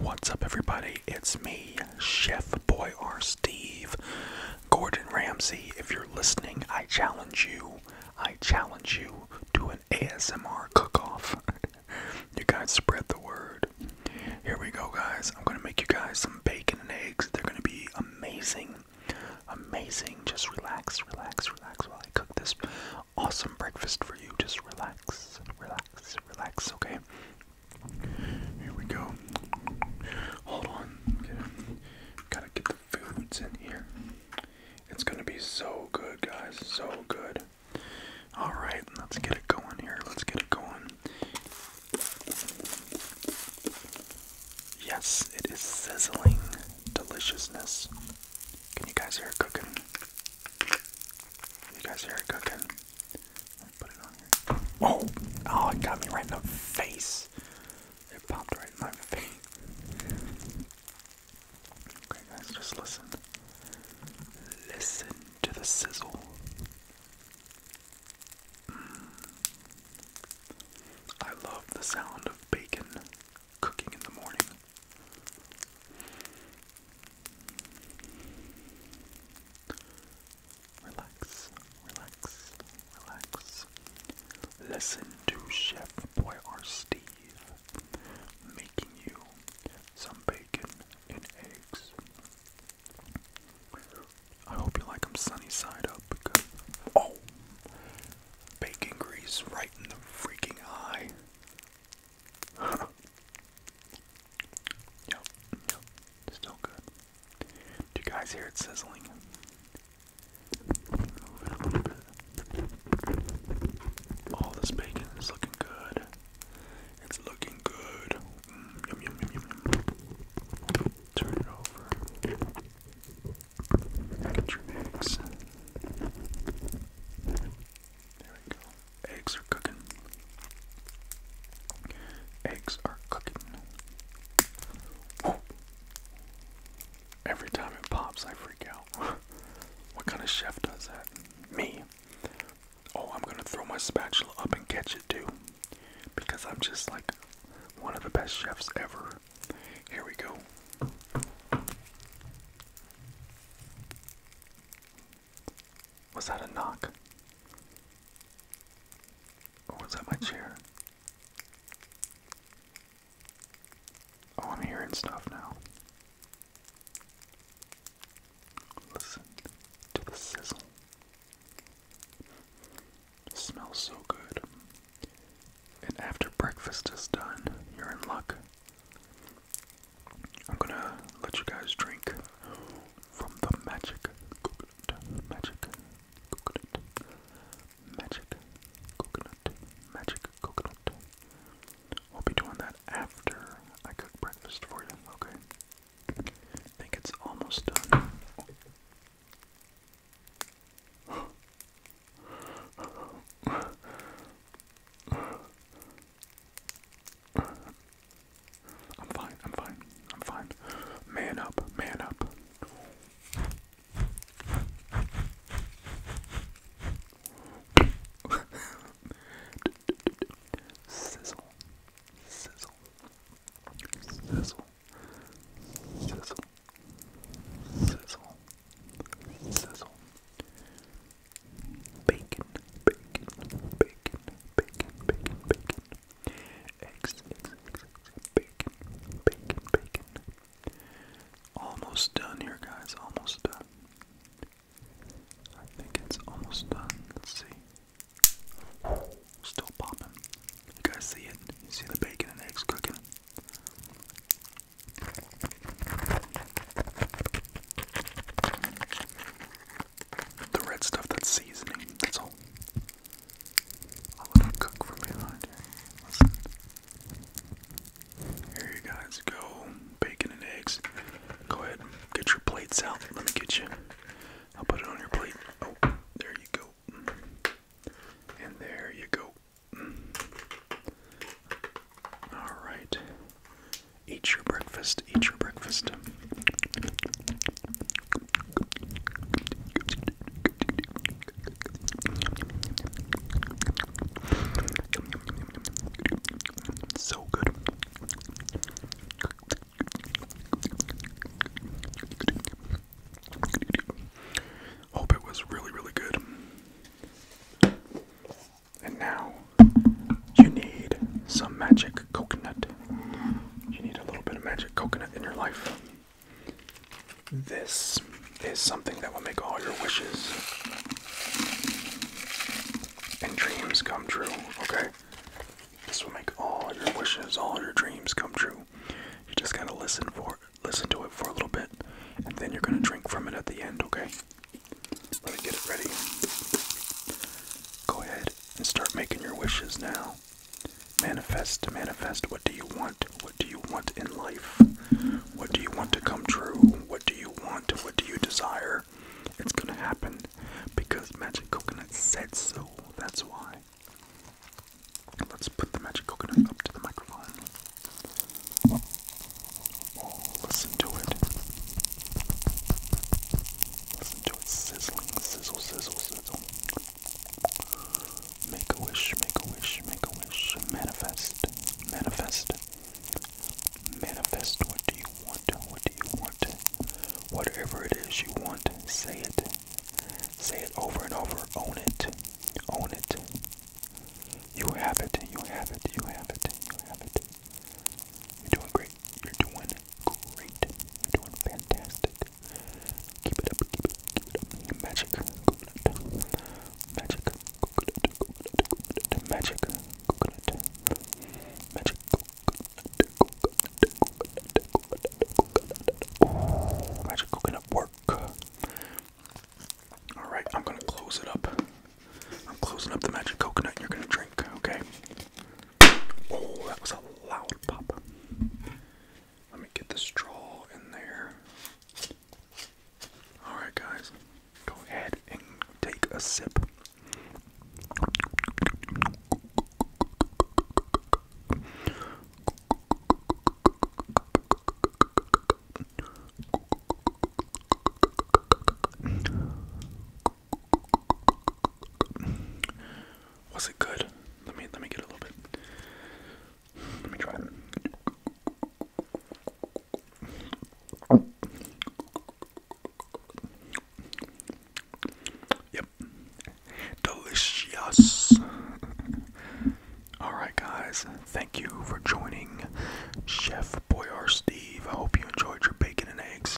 What's up, everybody? It's me, Chef Boy R. Steve, Gordon Ramsay. If you're listening, I challenge you. I challenge you to an ASMR cook-off. you guys spread the word. Here we go, guys. I'm gonna make you guys some bacon and eggs. They're gonna be amazing, amazing. Just relax, relax, relax while I cook this awesome breakfast for you. Just relax, relax, relax, okay? Here we go. Hold on. Gotta get the foods in here. It's gonna be so good, guys. So good. Alright, let's get it going here. Let's get it going. Yes, it is sizzling deliciousness. Can you guys hear it cooking? You guys hear it cooking? Put it on here. Oh! Oh, it got me right in the face. It popped right in my face. Okay, guys, just listen. Listen to the sizzle. Mm. I love the sound of bacon cooking in the morning. Relax, relax, relax. Listen to Chef Boyar Steve making you some bacon and eggs. I hope you like them sunny side up because. Oh! bacon grease right in the freaking eye. yep, yep, still good. Do you guys hear it sizzling? Move it a little bit. All this bacon is looking good. It's looking good. yum, yum, yum, yum, yum. Turn it over. Get your eggs. There we go. Eggs are cooking. Eggs are cooking. Every time it pops, I freak out. what kind of chef does that? Me. Oh, I'm gonna throw my spatula up and catch it too. Because I'm just like one of the best chefs ever. Here we go. Was that a knock? Or was that my chair? Oh, I'm hearing stuff now. Listen to the sizzle it smells so good. And after breakfast is done, you're in luck. I'm gonna let you guys drink from the magic coconut, magic coconut, magic coconut, magic coconut. We'll be doing that after I cook breakfast for you, okay? I think it's almost done. I'm fine, I'm fine, I'm fine. Man up, man up sizzle, sizzle, sizzle, sizzle, sizzle, sizzle. Bacon, bacon, bacon, bacon, bacon, bacon. Eggs, eggs, eggs, bacon, bacon, bacon. Almost done here, guys. Almost done. I think it's almost done. Let's see. Still popping. You guys see it? You see the bacon and eggs cooking? The red stuff that's seasoning, that's all. I'll let cook from behind here. Listen. Here you guys go. Bacon and eggs. Go ahead get your plates out. Let me get you. I'll put it on your plate. Oh, there you go. And there you go. Alright. Eat your breakfast. Eat your breakfast. So good. Hope it was really, really good. And now you need some magic coconut. You need a little bit of magic coconut in your life. This is something that will make all your wishes and dreams come true, okay? This will make all your wishes, all your dreams come true. You just gotta listen for listen to it for a little bit, and then you're gonna drink from it at the end, okay? Let me get it ready. Go ahead and start making your wishes now. Manifest, manifest. What do you want? What do you want in life? What do you want to come true? What do you want? What do you desire? It's gonna happen because Magic Coconut said so. That's why. Let's put the Magic Coconut up to the microphone. Oh, listen to it. Listen to it sizzling, sizzle, sizzle, sizzle. Make a wish, make a wish, make a wish. Manifest, manifest, manifest. What do you want? What do you want? Whatever it is you want, say it. Say it over and over. Own it. Own it. You have it. You have it. You have it. You have it. You're doing great. You're doing great. You're doing fantastic. Keep it up, keep it, keep it up. Magic coconut. Magic coconut, coconut, coconut. Magic coconut. Magic coconut, coconut, coconut, coconut, coconut. Ooh, magic coconut work. Alright, I'm gonna close it up. I'm closing up the magic coconut and you're gonna drink, okay? Oh, that was a loud pop. Let me get the straw in there. Alright, guys, go ahead and take a sip. Was it good? Let me let me get a little bit. Let me try Yep. Delicious. Alright, guys. Thank you for joining Chef Boyar Steve. I hope you enjoyed your bacon and eggs.